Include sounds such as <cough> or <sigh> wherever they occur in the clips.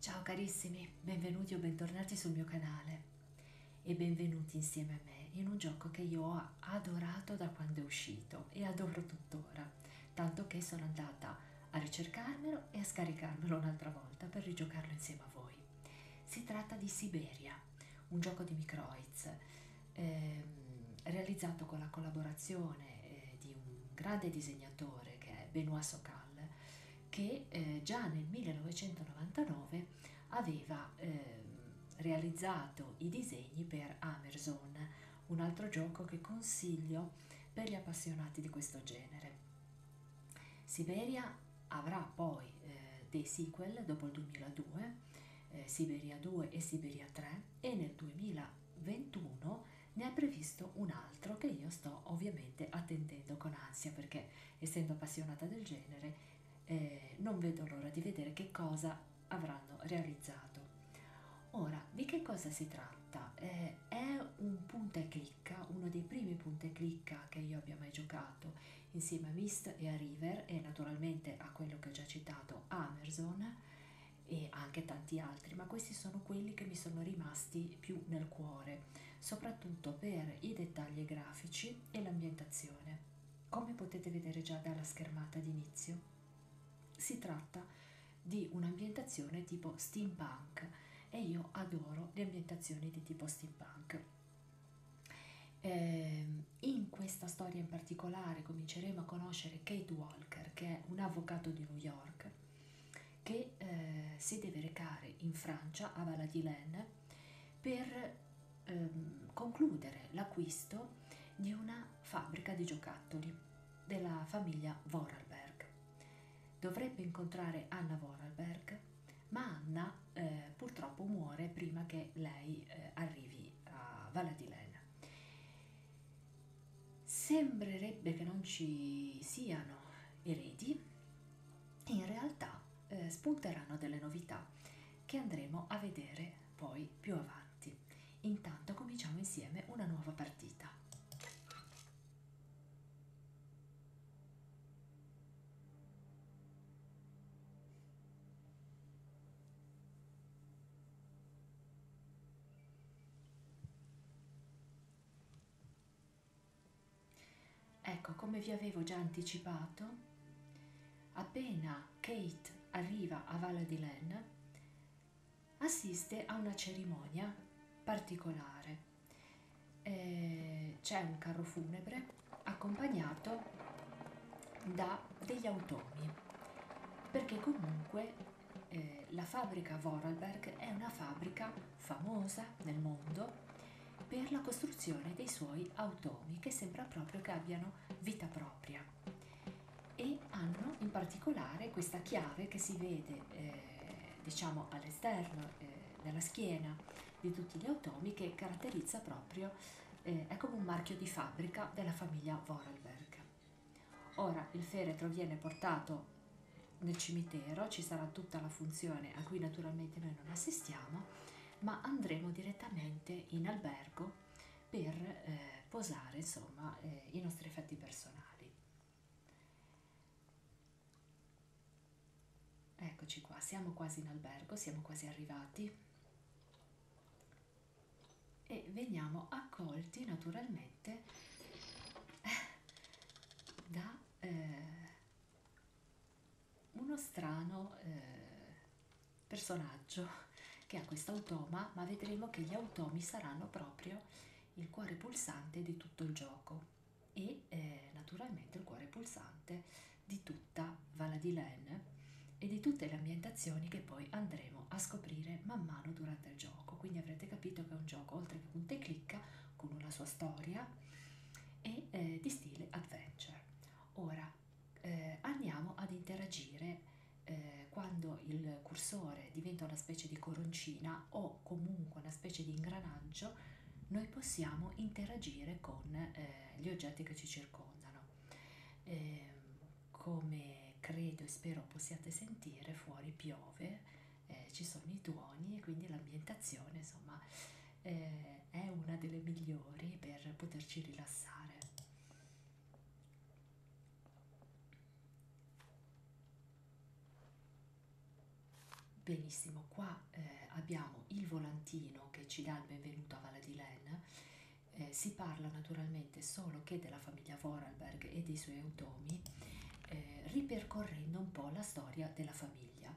Ciao carissimi, benvenuti o bentornati sul mio canale e benvenuti insieme a me in un gioco che io ho adorato da quando è uscito e adoro tuttora, tanto che sono andata a ricercarmelo e a scaricarmelo un'altra volta per rigiocarlo insieme a voi. Si tratta di Siberia, un gioco di Microids ehm, realizzato con la collaborazione eh, di un grande disegnatore che è Benoît Socal che eh, già nel 1999 aveva eh, realizzato i disegni per Amazon, un altro gioco che consiglio per gli appassionati di questo genere. Siberia avrà poi eh, dei sequel dopo il 2002, eh, Siberia 2 e Siberia 3 e nel 2021 ne ha previsto un altro che io sto ovviamente attendendo con ansia perché essendo appassionata del genere eh, non vedo l'ora di vedere che cosa avranno realizzato. Ora, di che cosa si tratta? Eh, è un punta e clicca, uno dei primi punta e clicca che io abbia mai giocato insieme a Mist e a River e naturalmente a quello che ho già citato, Amazon e anche tanti altri altri, ma questi sono quelli che mi sono rimasti più nel cuore, soprattutto per i dettagli grafici e l'ambientazione. Come potete vedere già dalla schermata d'inizio, si tratta di un'ambientazione tipo steampunk e io adoro le ambientazioni di tipo steampunk. Eh, in questa storia in particolare cominceremo a conoscere Kate Walker, che è un avvocato di New York che eh, si deve recare in Francia a Valadilaine per ehm, concludere l'acquisto di una fabbrica di giocattoli della famiglia Vorarlberg. Dovrebbe incontrare Anna Vorarlberg, ma Anna eh, purtroppo muore prima che lei eh, arrivi a Valadilaine. Sembrerebbe che non ci siano eredi, in realtà eh, spunteranno delle novità che andremo a vedere poi più avanti. Intanto cominciamo insieme una nuova partita. Ecco, come vi avevo già anticipato, appena Kate arriva a Valle di Len, assiste a una cerimonia particolare. Eh, c'è un carro funebre accompagnato da degli automi, perché comunque eh, la fabbrica Vorarlberg è una fabbrica famosa nel mondo per la costruzione dei suoi automi che sembra proprio che abbiano vita propria e hanno in particolare questa chiave che si vede eh, diciamo all'esterno eh, della schiena di tutti gli automi che caratterizza proprio eh, è come un marchio di fabbrica della famiglia Vorarlberg. Ora il feretro viene portato nel cimitero ci sarà tutta la funzione a cui naturalmente noi non assistiamo, ma andremo direttamente in albergo per eh, posare insomma eh, i nostri effetti personali. Eccoci qua, siamo quasi in albergo, siamo quasi arrivati e veniamo accolti naturalmente veramente eh, da eh, uno strano eh, personaggio che ha questo automa, ma vedremo che gli automi saranno proprio il cuore pulsante di tutto il gioco e eh, naturalmente il cuore pulsante di tutta Valadilen e di tutte le ambientazioni che poi andremo a scoprire man mano durante il gioco. Quindi avrete capito che è un gioco oltre che punta e clicca, con una sua storia e eh, di stile adventure. Ora eh, andiamo ad interagire eh, quando il cursore diventa una specie di coroncina o comunque una specie di ingranaggio, noi possiamo interagire con eh, gli oggetti che ci circondano. Ehm, come credo e spero possiate sentire, fuori piove eh, ci sono i tuoni e quindi l'ambientazione insomma eh, è una delle migliori per poterci rilassare. Benissimo, qua eh, abbiamo il volantino che ci dà il benvenuto a Valle di Len. Eh, si parla naturalmente solo che della famiglia Vorarlberg e dei suoi automi, eh, ripercorrendo un po' la storia della famiglia,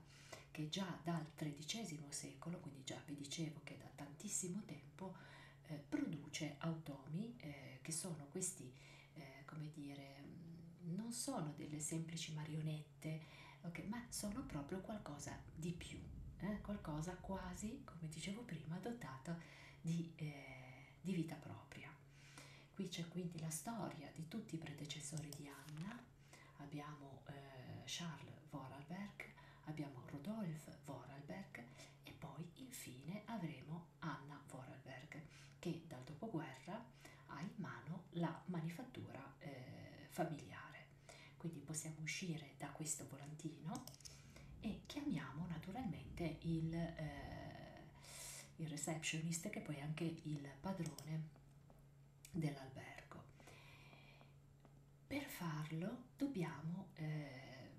che già dal XIII secolo, quindi già vi dicevo che da tantissimo tempo, eh, produce automi eh, che sono questi, eh, come dire, mm, non sono delle semplici marionette, okay, ma sono proprio qualcosa di più, eh, qualcosa quasi, come dicevo prima, dotato di, eh, di vita propria. Qui c'è quindi la storia di tutti i predecessori di Anna, abbiamo eh, Charles Vorarlberg, abbiamo Rodolphe Vorarlberg e poi infine avremo Anna Vorarlberg che dal dopoguerra ha in mano la manifattura eh, familiare. Quindi possiamo uscire da questo volantino e chiamiamo naturalmente il... Eh, il receptionist che poi è anche il padrone dell'albergo. Per farlo dobbiamo eh,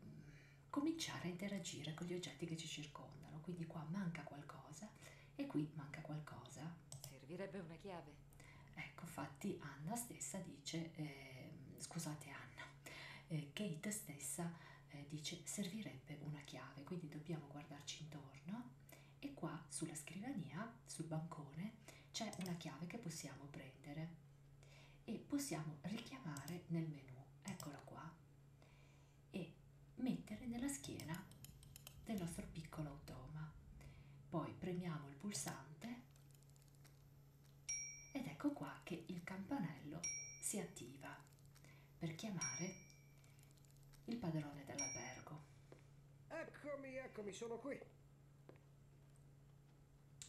cominciare a interagire con gli oggetti che ci circondano, quindi qua manca qualcosa e qui manca qualcosa. Servirebbe una chiave. Ecco, infatti Anna stessa dice, eh, scusate Anna, eh, Kate stessa eh, dice servirebbe una chiave, quindi dobbiamo guardarci intorno e qua sulla scrivania, sul bancone, c'è una chiave che possiamo prendere e possiamo richiamare nel menu, eccola qua, e mettere nella schiena del nostro piccolo automa. Poi premiamo il pulsante ed ecco qua che il campanello si attiva per chiamare il padrone dell'albergo. Eccomi, eccomi, sono qui.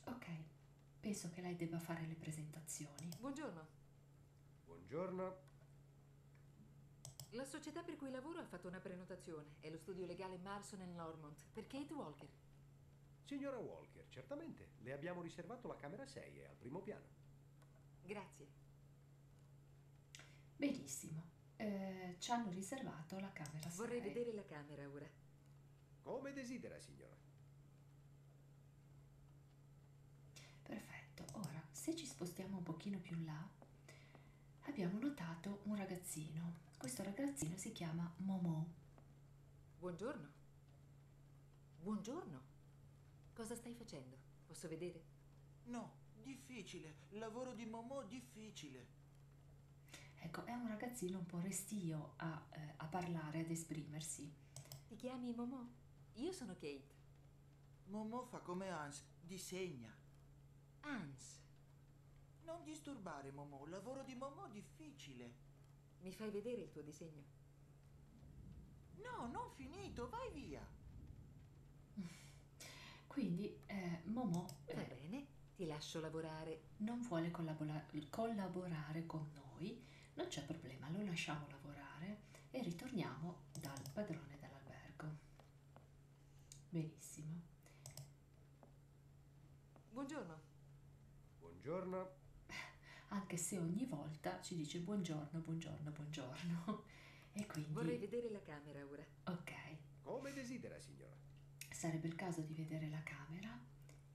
Ok, penso che lei debba fare le presentazioni. Buongiorno. Buongiorno. La società per cui lavoro ha fatto una prenotazione. È lo studio legale Marson Lormont per Kate Walker. Signora Walker, certamente. Le abbiamo riservato la camera 6, è al primo piano. Grazie. Benissimo, eh, ci hanno riservato la camera 6. Vorrei vedere la camera ora. Come desidera, signora. Perfetto, ora se ci spostiamo un pochino più in là abbiamo notato un ragazzino. Questo ragazzino si chiama Momo. Buongiorno. Buongiorno. Cosa stai facendo? Posso vedere? No, difficile. Lavoro di Momò difficile. Ecco, è un ragazzino un po' restio a, eh, a parlare, ad esprimersi. Ti chiami Momò? Io sono Kate. Momò fa come Hans, disegna. Hans. Non disturbare Momò, lavoro di Momò difficile. Mi fai vedere il tuo disegno? No, non finito, vai via. Quindi eh, Momo Va eh, bene, ti lascio lavorare. non vuole collabora- collaborare con noi, non c'è problema, lo lasciamo lavorare e ritorniamo dal padrone dell'albergo. Benissimo. Buongiorno. Buongiorno. <laughs> anche se ogni volta ci dice buongiorno, buongiorno, buongiorno. <laughs> E quindi... Vorrei vedere la camera ora. Ok. Come desidera, signora. Sarebbe il caso di vedere la camera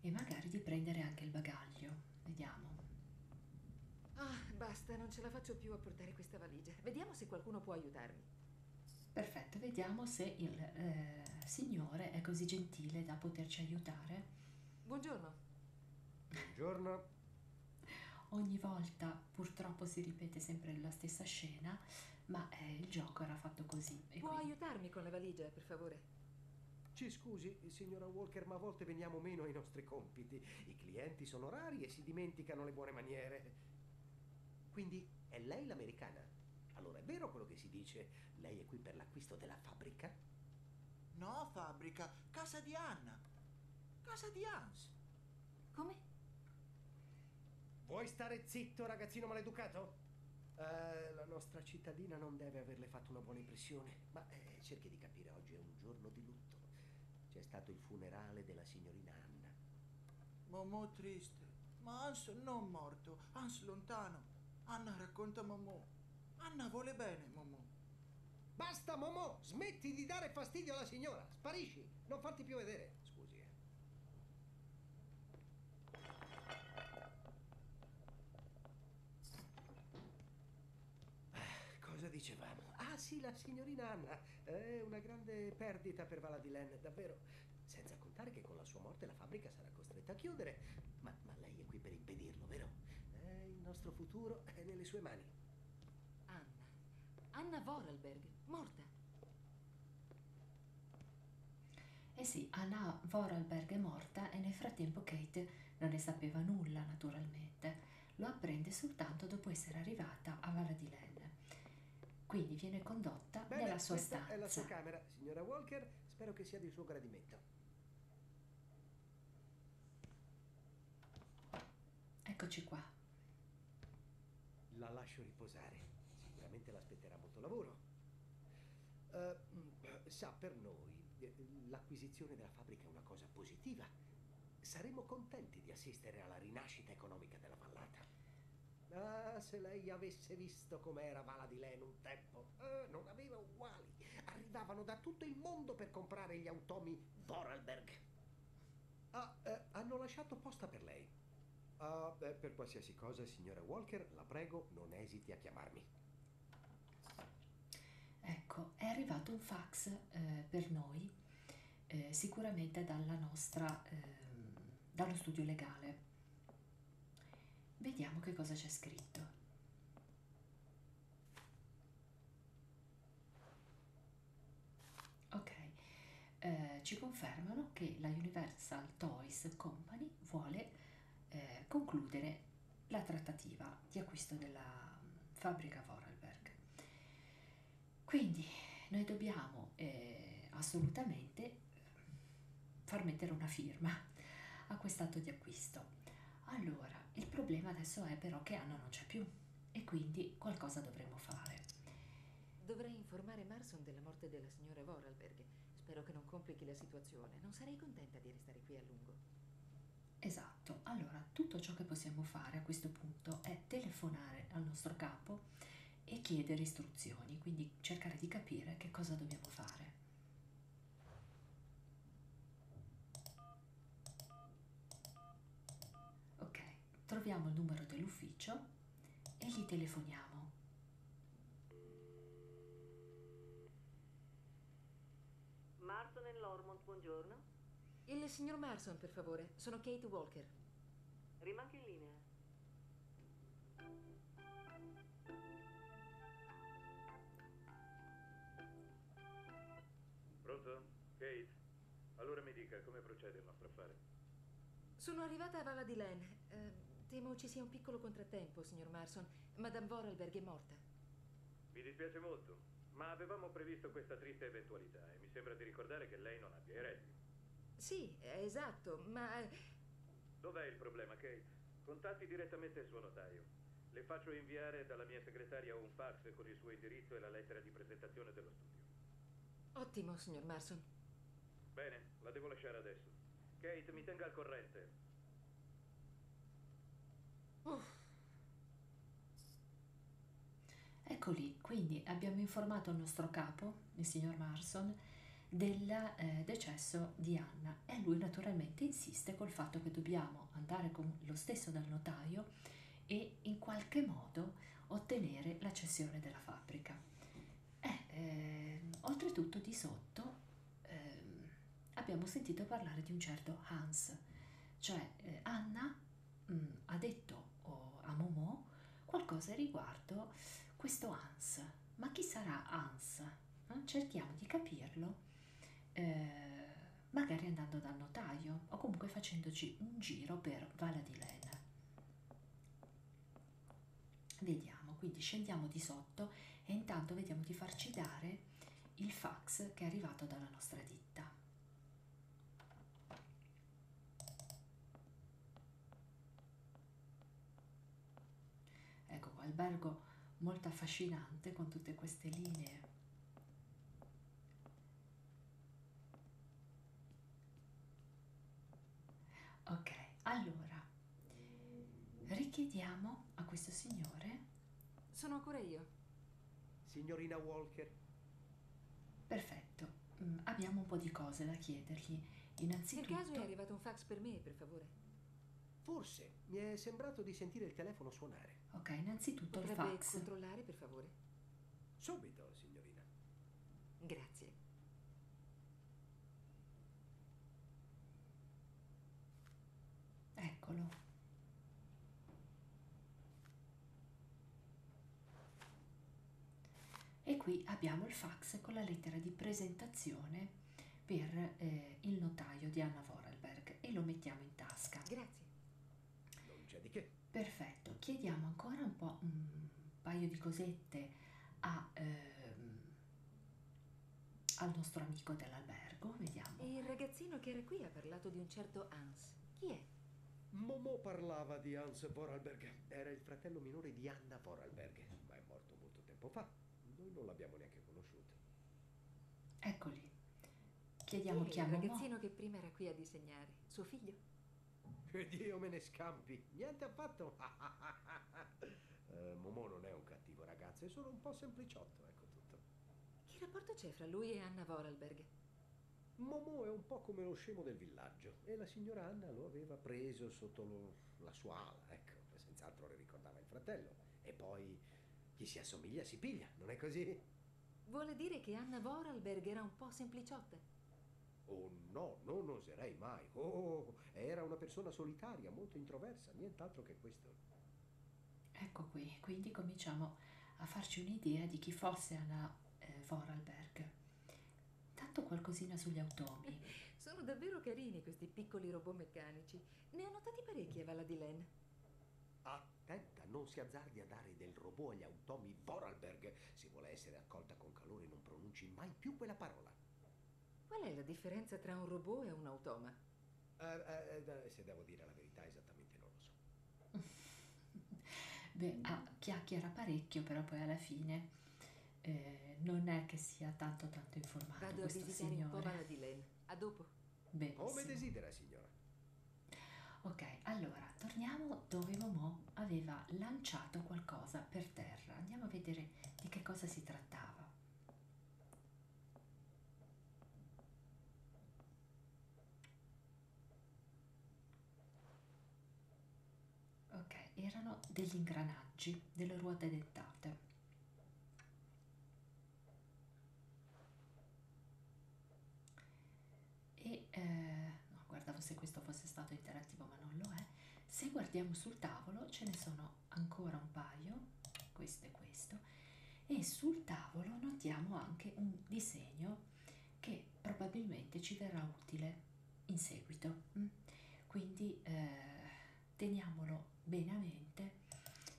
e magari di prendere anche il bagaglio. Vediamo. Ah, basta, non ce la faccio più a portare questa valigia. Vediamo se qualcuno può aiutarmi. Perfetto, vediamo se il eh, signore è così gentile da poterci aiutare. Buongiorno. Buongiorno. Ogni volta purtroppo si ripete sempre la stessa scena, ma eh, il gioco era fatto così. E Può quindi... aiutarmi con la valigia, per favore? Ci scusi, signora Walker, ma a volte veniamo meno ai nostri compiti. I clienti sono rari e si dimenticano le buone maniere. Quindi è lei l'americana? Allora è vero quello che si dice? Lei è qui per l'acquisto della fabbrica? No, fabbrica, casa di Anna. Casa di Hans. Come? Vuoi stare zitto, ragazzino maleducato? Uh, la nostra cittadina non deve averle fatto una buona impressione, ma eh, cerchi di capire, oggi è un giorno di lutto. C'è stato il funerale della signorina Anna. Momò triste, ma Hans non morto, Hans lontano. Anna racconta Momò. Anna vuole bene, Momò. Basta, Momò! Smetti di dare fastidio alla signora! Sparisci! Non farti più vedere! Scusi, eh. Ah, cosa dicevamo? Ah sì, la signorina Anna. È una grande perdita per Vala di Len, davvero. Senza contare che con la sua morte la fabbrica sarà costretta a chiudere. Ma, ma lei è qui per impedirlo, vero? Eh, il nostro futuro è nelle sue mani. Anna. Anna Vorarlberg, morta. Eh sì, Anna Vorarlberg è morta e nel frattempo Kate non ne sapeva nulla, naturalmente. Lo apprende soltanto dopo essere arrivata a Vala di Len. Quindi viene condotta Bene, nella sua stanza. è la sua camera, signora Walker. Spero che sia di suo gradimento. Eccoci qua. La lascio riposare. Sicuramente l'aspetterà molto lavoro. Uh, sa, per noi eh, l'acquisizione della fabbrica è una cosa positiva. Saremo contenti di assistere alla rinascita economica della vallata. Ah, se lei avesse visto com'era Vala di Len un tempo, eh, non aveva uguali. Arrivavano da tutto il mondo per comprare gli automi Vorarlberg. Ah, eh, hanno lasciato posta per lei. Ah, beh, per qualsiasi cosa, signora Walker, la prego, non esiti a chiamarmi. Ecco, è arrivato un fax eh, per noi, eh, sicuramente dalla nostra, ehm, dallo studio legale. Vediamo che cosa c'è scritto. Ok, eh, ci confermano che la Universal Toys Company vuole eh, concludere la trattativa di acquisto della mm, fabbrica Vorarlberg. Quindi noi dobbiamo eh, assolutamente eh, far mettere una firma a quest'atto di acquisto. Allora, il problema adesso è però che Anna non c'è più e quindi qualcosa dovremmo fare. Dovrei informare Marson della morte della signora Vorarlberg. Spero che non complichi la situazione. Non sarei contenta di restare qui a lungo. Esatto. Allora, tutto ciò che possiamo fare a questo punto è telefonare al nostro capo e chiedere istruzioni, quindi cercare di capire che cosa dobbiamo fare. Ok, troviamo il numero dell'ufficio e gli telefoniamo. Marson e Lormont, buongiorno. Il signor Marson, per favore. Sono Kate Walker. Rimanga in linea. Pronto? Kate? Allora mi dica, come procede il nostro affare? Sono arrivata a Valla di Len. Eh, temo ci sia un piccolo contrattempo, signor Marson. Madame Vorarlberg è morta. Mi dispiace molto, ma avevamo previsto questa triste eventualità e mi sembra di ricordare che lei non abbia eredi. Sì, eh, esatto, ma... Eh, Dov'è il problema, Kate? Contatti direttamente il suo notaio. Le faccio inviare dalla mia segretaria un fax con il suo indirizzo e la lettera di presentazione dello studio. Ottimo, signor Marson. Bene, la devo lasciare adesso. Kate, mi tenga al corrente. Uff. Eccoli, quindi abbiamo informato il nostro capo, il signor Marson, del eh, decesso di Anna e lui naturalmente insiste col fatto che dobbiamo possiamo andare con lo stesso dal notaio e in qualche modo ottenere la cessione della fabbrica. Eh, eh, oltretutto di sotto eh, abbiamo sentito parlare di un certo Hans, cioè eh, Anna mh, mm, ha detto oh, a Momò qualcosa riguardo questo Hans. Ma chi sarà Hans? Eh, cerchiamo di capirlo eh, magari andando dal notaio o comunque facendoci un giro per Vala di Lena. Vediamo, quindi scendiamo di sotto e intanto vediamo di farci dare il fax che è arrivato dalla nostra ditta. Ecco qua, albergo molto affascinante con tutte queste linee Ok, allora richiediamo a questo signore. Sono ancora io. Signorina Walker. Perfetto, mm, abbiamo un po' di cose da chiedergli. Innanzitutto... Per caso è arrivato un fax per me, per favore? Forse, mi è sembrato di sentire il telefono suonare. Ok, innanzitutto Potrebbe il fax. controllare, per favore? Subito, signorina. Grazie. Eccolo. E qui abbiamo il fax con la lettera di presentazione per eh, il notaio di Anna Vorarlberg e lo mettiamo in tasca. Grazie. Grazie. Non c'è di che. Perfetto, chiediamo ancora un po' un paio di cosette a, ehm, al nostro amico dell'albergo, vediamo. E il ragazzino che era qui ha parlato di un certo Hans. Chi è? Momo parlava di Hans Vorarlberg. Era il fratello minore di Anna Vorarlberg, ma è morto molto tempo fa. Noi non l'abbiamo neanche conosciuto. Eccoli. Chiediamo chi è. Il ragazzino mo. che prima era qui a disegnare. Suo figlio? Che Dio me ne scampi. Niente affatto. <laughs> eh, Momò non è un cattivo ragazzo, è solo un po' sempliciotto, ecco tutto. Che rapporto c'è fra lui e Anna Vorarlberg? Momò è un po' come lo scemo del villaggio e la signora Anna lo aveva preso sotto lo, la sua ala, ecco, senz'altro le ricordava il fratello. E poi chi si assomiglia si piglia, non è così? Vuole dire che Anna Vorarlberg era un po' sempliciotta? Oh no, non oserei mai. Oh, era una persona solitaria, molto introversa, nient'altro che questo. Ecco qui, quindi cominciamo a farci un'idea di chi fosse Anna eh, Vorarlberg. Tanto qualcosina sugli automi. <laughs> Sono davvero carini questi piccoli robot meccanici. Ne ho notati parecchi a Vala di Len. Ah, attenta, non si azzardi a dare del robot agli automi Vorarlberg. Se vuole essere accolta con calore, non pronunci mai più quella parola. Qual è la differenza tra un robot e un automa? Uh, uh, se devo dire la verità, esattamente non lo so. <laughs> Beh, ah, chiacchiera parecchio, però poi alla fine eh, non è che sia tanto tanto informato Vado a visitare signore. un po' Valadilene. A dopo. Benissimo. Come desidera, signora. Ok, allora torniamo dove Momò aveva lanciato qualcosa per terra. Andiamo a vedere di che cosa si trattava. Ok, erano degli ingranaggi, delle ruote dettate e eh, no, guardavo se questo fosse stato interattivo ma non lo è se guardiamo sul tavolo ce ne sono ancora un paio questo e questo e sul tavolo notiamo anche un disegno che probabilmente ci verrà utile in seguito mm? quindi eh, teniamolo bene a mente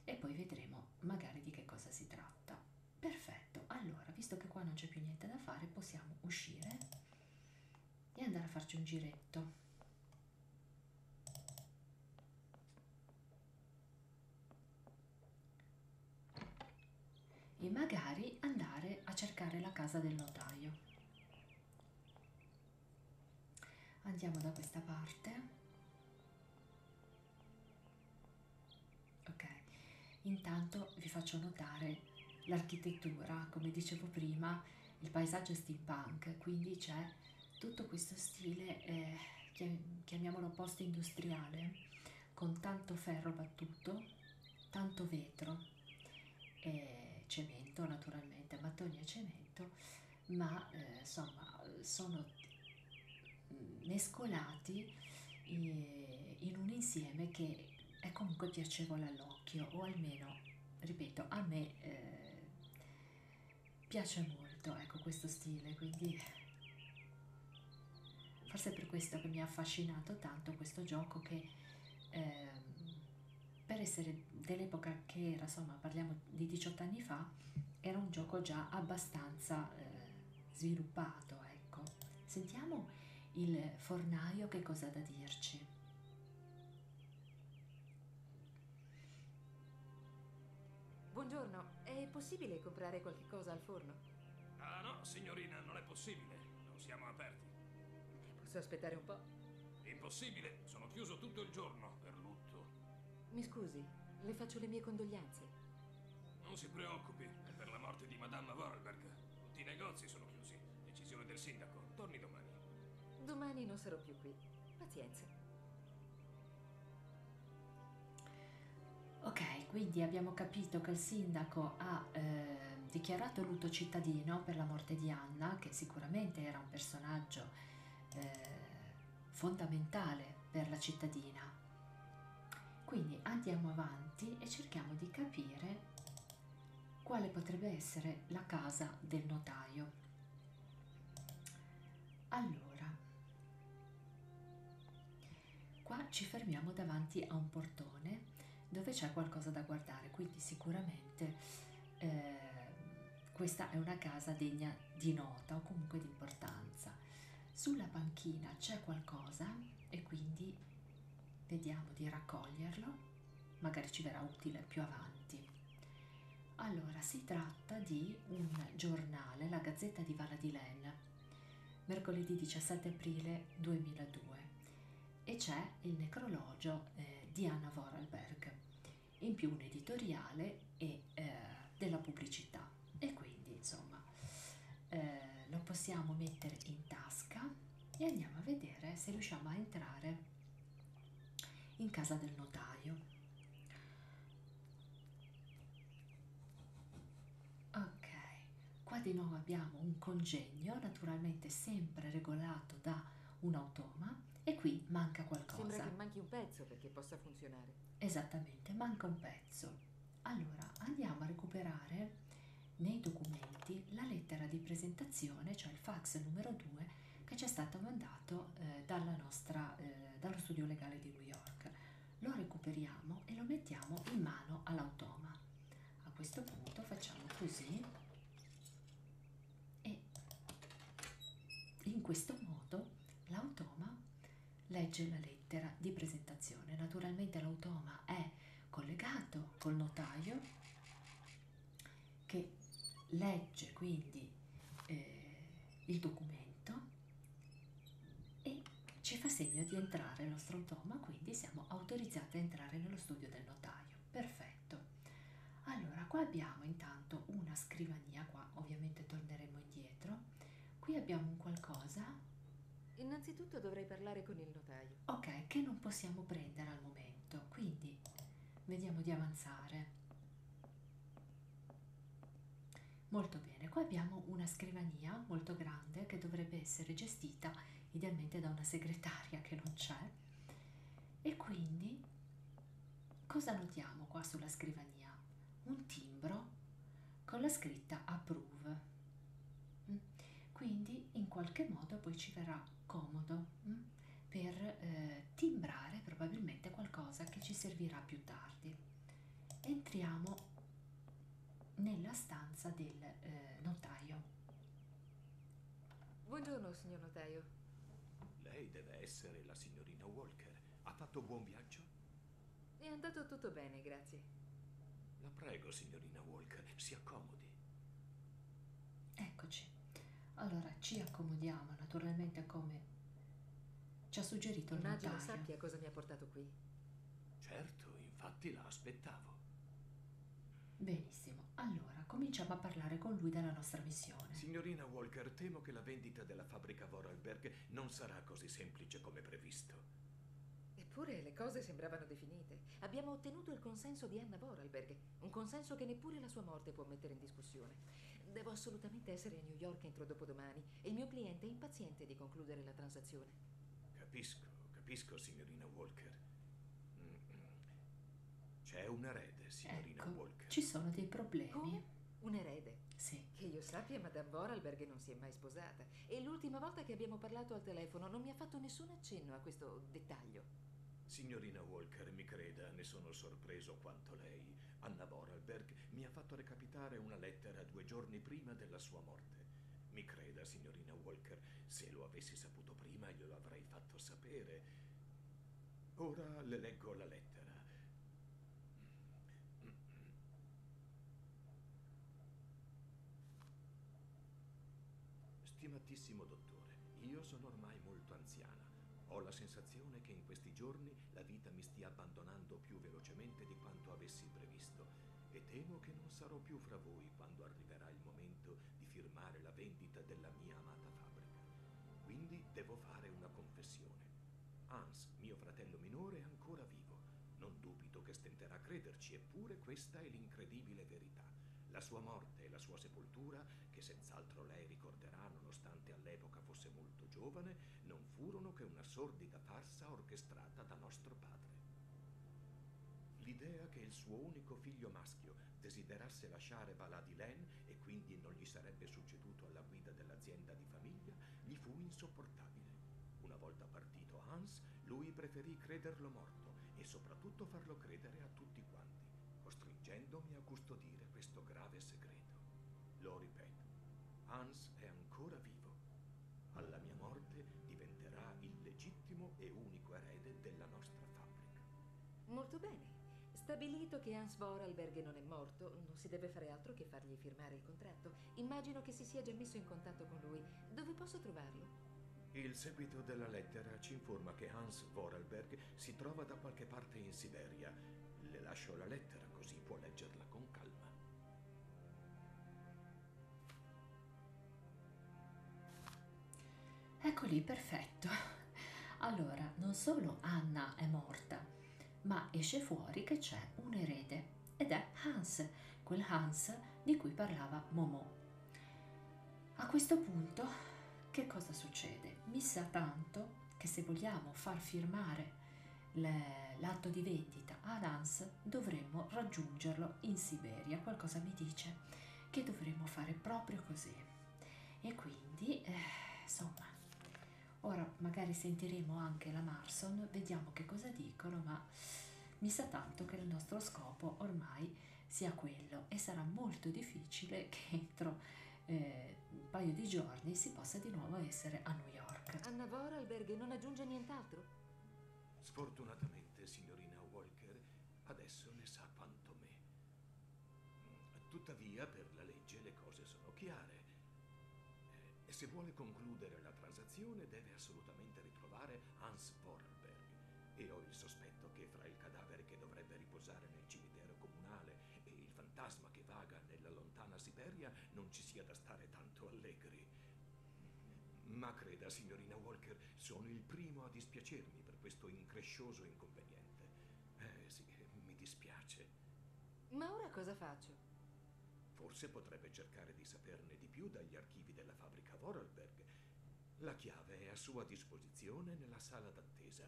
e poi vedremo vediamo magari di che cosa si tratta. Perfetto, allora visto che qua non c'è più niente da fare possiamo uscire e andare a farci un giretto. E magari andare a cercare la casa del notaio. Andiamo da questa parte Ok, intanto vi faccio notare l'architettura, come dicevo prima, il paesaggio è steampunk, quindi c'è tutto questo stile, eh, chiamiamolo post-industriale, con tanto ferro battuto, tanto vetro e cemento naturalmente, mattoni e cemento ma eh, insomma sono mescolati eh, in un insieme che è comunque piacevole all'occhio o almeno ripeto a me eh, piace molto ecco questo stile quindi forse è per questo che mi ha affascinato tanto questo gioco che ehm, per essere dell'epoca che era insomma parliamo di 18 anni fa era un gioco già abbastanza eh, sviluppato, ecco. Sentiamo il fornaio che cosa ha da dirci. Buongiorno, è possibile comprare qualche cosa al forno? Ah no, signorina, non è possibile. Non siamo aperti. Posso aspettare un po'? Impossibile, sono chiuso tutto il giorno per lutto Prego. Mi scusi, le faccio le mie condoglianze. Non si preoccupi, è per la morte di Madame Vorarlberg. Tutti i negozi sono chiusi. Decisione del sindaco. Torni domani. Domani non sarò più qui. Pazienza. Ok, quindi abbiamo capito che il sindaco ha eh, dichiarato lutto cittadino per la morte di Anna, che sicuramente era un personaggio eh, fondamentale per la cittadina. Quindi andiamo avanti e cerchiamo di capire quale potrebbe essere la casa del notaio. Allora, qua ci fermiamo davanti a un portone dove c'è qualcosa da guardare, quindi sicuramente eh, questa è una casa degna di nota o comunque di importanza. Sulla panchina c'è qualcosa e quindi vediamo di raccoglierlo, magari ci verrà utile più avanti. Allora, si tratta di un giornale, la Gazzetta di Vala di Len, mercoledì 17 aprile 2002 e c'è il necrologio eh, di Anna Vorarlberg in più un editoriale e eh, della pubblicità. E quindi insomma eh, lo possiamo mettere in tasca e andiamo a vedere se riusciamo a entrare in casa del notaio. Ok, qua di nuovo abbiamo un congegno, naturalmente sempre regolato da un automa e qui manca qualcosa. Sembra che manchi un pezzo perché possa funzionare. Esattamente, manca un pezzo. Allora, andiamo a recuperare nei documenti la lettera di presentazione, cioè il fax numero 2 che ci è stato mandato eh, nostra, eh, dallo studio legale di New York. Lo recuperiamo e lo mettiamo in mano all'automa. A questo punto facciamo così e in questo modo l'automa Legge la lettera di presentazione. Naturalmente l'automa è collegato col notaio che legge quindi eh, il documento e ci fa segno di entrare il nostro automa, quindi siamo autorizzati a entrare nello studio del notaio. Perfetto. Allora, qua abbiamo intanto una scrivania, qua ovviamente torneremo indietro, Qui abbiamo un qualcosa. Innanzitutto dovrei parlare con il notaio. Ok, che non possiamo prendere al momento, quindi vediamo di avanzare. Molto bene, qua abbiamo una scrivania molto grande che dovrebbe essere gestita idealmente da una segretaria che non c'è. E quindi cosa notiamo qua sulla scrivania? montagna un timbro con la scritta approve. Mm. Quindi in qualche modo poi ci verrà comodo mm, per eh, timbrare probabilmente qualcosa che ci servirà più tardi. Entriamo nella stanza del eh, notaio. Buongiorno, signor notaio. Lei deve essere la signorina Walker. Ha fatto buon viaggio ufficio? È andato tutto bene, grazie. La prego, signorina Walk, si accomodi. Eccoci. Allora, ci accomodiamo, naturalmente, come ci ha suggerito il notaio. Immagino sappia cosa mi ha portato qui. Certo, infatti la aspettavo. Benissimo, allora cominciamo a parlare con lui della nostra missione. Signorina Walker, temo che la vendita della fabbrica Vorarlberg Jack non sarà così semplice come previsto. Eppure le cose sembravano definite. Abbiamo ottenuto il consenso di Anna Vorarlberg, un consenso che neppure la sua morte può mettere in discussione. Devo assolutamente essere a New York entro dopodomani e il mio cliente è impaziente di concludere la transazione. Capisco, capisco, signorina Walker. Mm, mm. C'è un erede, signorina ecco, Walker. Ci sono dei problemi. Come? un erede. Sì. Che io sappia, Madame Vorarlberg non si è mai sposata. E l'ultima volta che abbiamo parlato al telefono non mi ha fatto nessun accenno a questo dettaglio. Signorina Walker, mi creda, ne sono sorpreso quanto lei. Anna Vorarlberg mi ha fatto recapitare una lettera due giorni prima della sua morte. Mi creda, signorina Walker, se lo avessi saputo prima glielo avrei fatto sapere. Ora le leggo la lettera. Stimatissimo dottore, io sono ormai molto anziana. Ho la sensazione che in questi giorni la vita mi stia abbandonando più velocemente di quanto avessi previsto e temo che non sarò più fra voi quando arriverà il momento di firmare la vendita della mia amata fabbrica. Quindi devo fare una confessione. Hans, mio fratello minore, è ancora vivo. Non dubito che stenterà a crederci, eppure questa è l'incredibile verità. La sua morte e la sua sepoltura, che senz'altro lei ricorderà nonostante all'epoca fosse molto giovane, non furono che una sordida farsa orchestrata da nostro padre. L'idea che il suo unico figlio maschio desiderasse lasciare Valadilen Etienne e quindi non gli sarebbe succeduto alla guida dell'azienda di famiglia, gli fu insopportabile. Una volta partito Hans, lui preferì crederlo morto e soprattutto farlo credere a tutti quanti, costringendomi a custodire questo grave segreto. Lo ripeto, Hans è ancora vivo. Alla mia morte diventerà il legittimo e unico erede della nostra fabbrica. Molto bene. Stabilito che Hans Vorarlberg non è morto, non si deve fare altro che fargli firmare il contratto. Immagino che si sia già messo in contatto con lui. Dove posso trovarlo? Il seguito della lettera ci informa che Hans Vorarlberg si trova da qualche parte in Siberia. Le lascio la lettera così può leggerla con calma. Ecco lì, perfetto. Allora, non solo Anna è morta, ma esce fuori che c'è un erede ed è Hans, quel Hans di cui parlava Momo. A questo punto, che cosa succede? Mi sa tanto che se vogliamo far firmare le, l'atto di vendita ad Hans dovremmo raggiungerlo in Siberia. Qualcosa mi dice che dovremmo fare proprio così. E quindi, eh, insomma, Ora magari sentiremo anche la Marson, vediamo che cosa dicono, ma mi sa tanto che il nostro scopo ormai sia quello e sarà molto difficile <laughs> che entro eh, un paio di giorni si possa di nuovo essere a New York. A Vorarlberg non aggiunge nient'altro? Sfortunatamente, signorina Walker, adesso ne sa quanto me. Tuttavia, per la legge le cose sono chiare. Eh, eh, e se vuole concludere la transazione deve assolutamente ritrovare Hans Vorarlberg. E ho il sospetto che fra il cadavere che dovrebbe riposare nel cimitero comunale e il fantasma che vaga nella lontana Siberia non ci sia da stare tanto allegri. Ma creda, signorina Walker, sono il primo a dispiacermi per questo increscioso inconveniente. Eh sì, mi dispiace. Ma ora cosa faccio? Forse potrebbe cercare di saperne di più dagli archivi della fabbrica Vorarlberg. La chiave è a sua disposizione nella sala d'attesa.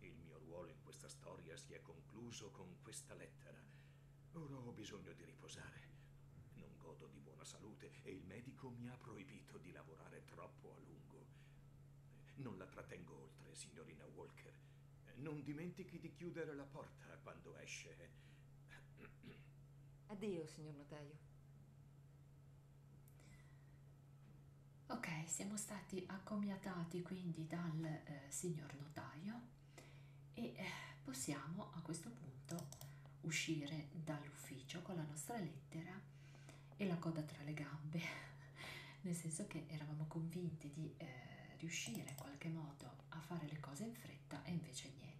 Il mio ruolo in questa storia si è concluso con questa lettera. Ora ho bisogno di riposare. Non godo di buona salute e il medico mi ha proibito di lavorare troppo a lungo. Non la trattengo oltre, signorina Walker. Eh, non dimentichi di chiudere la porta quando esce. Eh. Addio, signor notaio. Ok, siamo stati accomiatati quindi dal eh, signor notaio e eh, possiamo a questo punto uscire dall'ufficio con la nostra lettera e la coda tra le gambe. <laughs> nel senso che eravamo convinti di eh, riuscire in qualche modo a fare le cose in fretta e invece niente.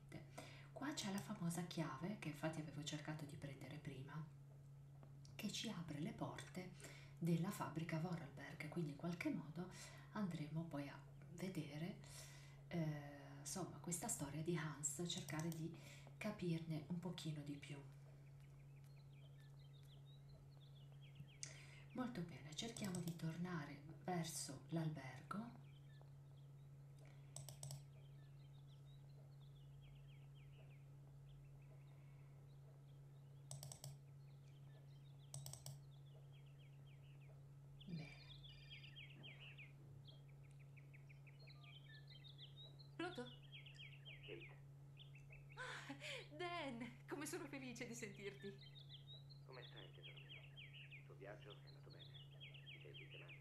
Qua c'è la famosa chiave che infatti avevo cercato di prendere prima, che ci apre le porte della fabbrica Vorarlberg, quindi in qualche modo andremo poi a vedere eh, insomma questa storia di Hans, cercare di capirne un pochino di più molto bene cerchiamo di tornare verso l'albergo Bene. Pronto? Kate. Ah, Dan, come sono felice di sentirti. Come stai, tesoro mio? Il tuo viaggio è andato bene. Ti sei sistemata?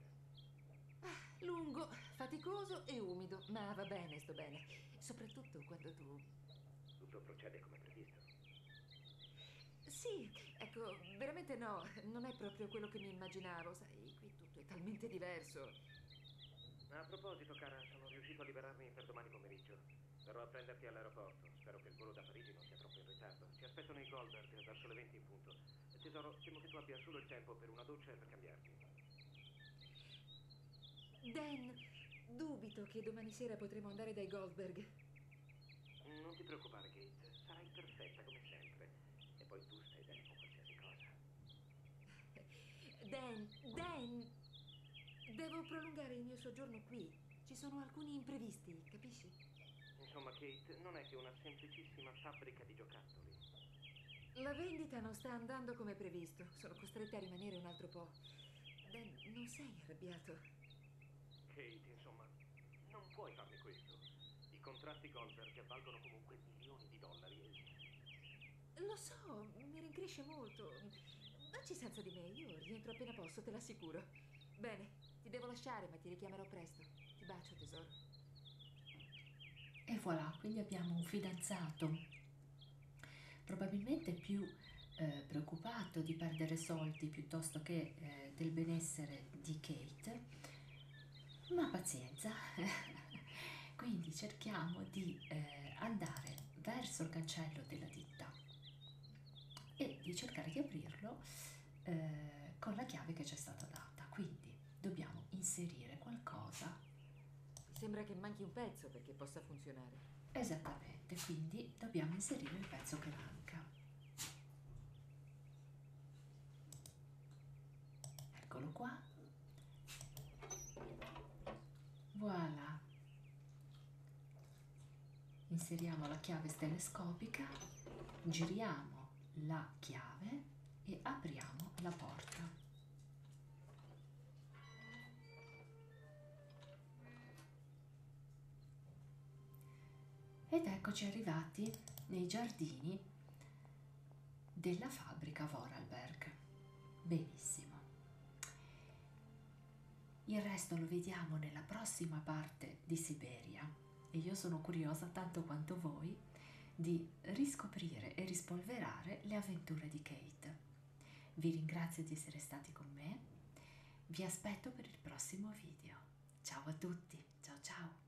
Ah, lungo, faticoso e umido, ma va bene, sto bene. Soprattutto quando tu... Tutto procede come previsto. Sì, ecco, veramente no, non è proprio quello che mi immaginavo, sai, qui tutto è talmente diverso. A proposito, cara, sono riuscito a liberarmi per domani pomeriggio. Sarò a prenderti all'aeroporto. Spero che il volo da Parigi non sia troppo in ritardo. Ci aspettano i Goldberg verso le 20 in punto. Tesoro, temo che tu abbia solo il tempo per una doccia e per cambiarti. Dan, dubito che domani sera potremo andare dai Goldberg. Non ti preoccupare, Kate. Sarai perfetta come sempre. E poi tu stai bene con qualsiasi cosa. Dan, Dan, devo prolungare il mio soggiorno qui. Ci sono alcuni imprevisti, capisci? Insomma, Kate, non è che una semplicissima fabbrica di giocattoli. La vendita non sta andando come previsto. Sono costretta a rimanere un altro po'. Dan, non sei arrabbiato? Kate, insomma, non puoi farmi questo. I contratti Goldberg valgono comunque milioni di dollari e lo so, mi rincresce molto. Vacci senza di me, io rientro appena posso, te l'assicuro. Bene, ti devo lasciare, ma ti richiamerò presto. Ti bacio, tesoro. E voilà, quindi abbiamo un fidanzato probabilmente più eh, preoccupato di perdere soldi piuttosto che eh, del benessere di Kate, ma pazienza. <laughs> quindi cerchiamo di eh, andare verso il cancello della ditta e di cercare di aprirlo eh, con la chiave che ci è stata data. Quindi dobbiamo inserire qualcosa. Mi sembra che manchi un pezzo perché possa funzionare. Esattamente, quindi dobbiamo inserire il pezzo che manca. Eccolo qua. Voilà inseriamo la chiave stelescopica, giriamo la chiave e apriamo la porta. Ed eccoci arrivati nei giardini della fabbrica Vorarlberg. Benissimo. Il resto lo vediamo nella prossima parte di Siberia e io sono curiosa tanto quanto voi di riscoprire e rispolverare le avventure di Kate. Vi ringrazio di essere stati con me, vi aspetto per il prossimo video. Ciao a tutti, ciao ciao!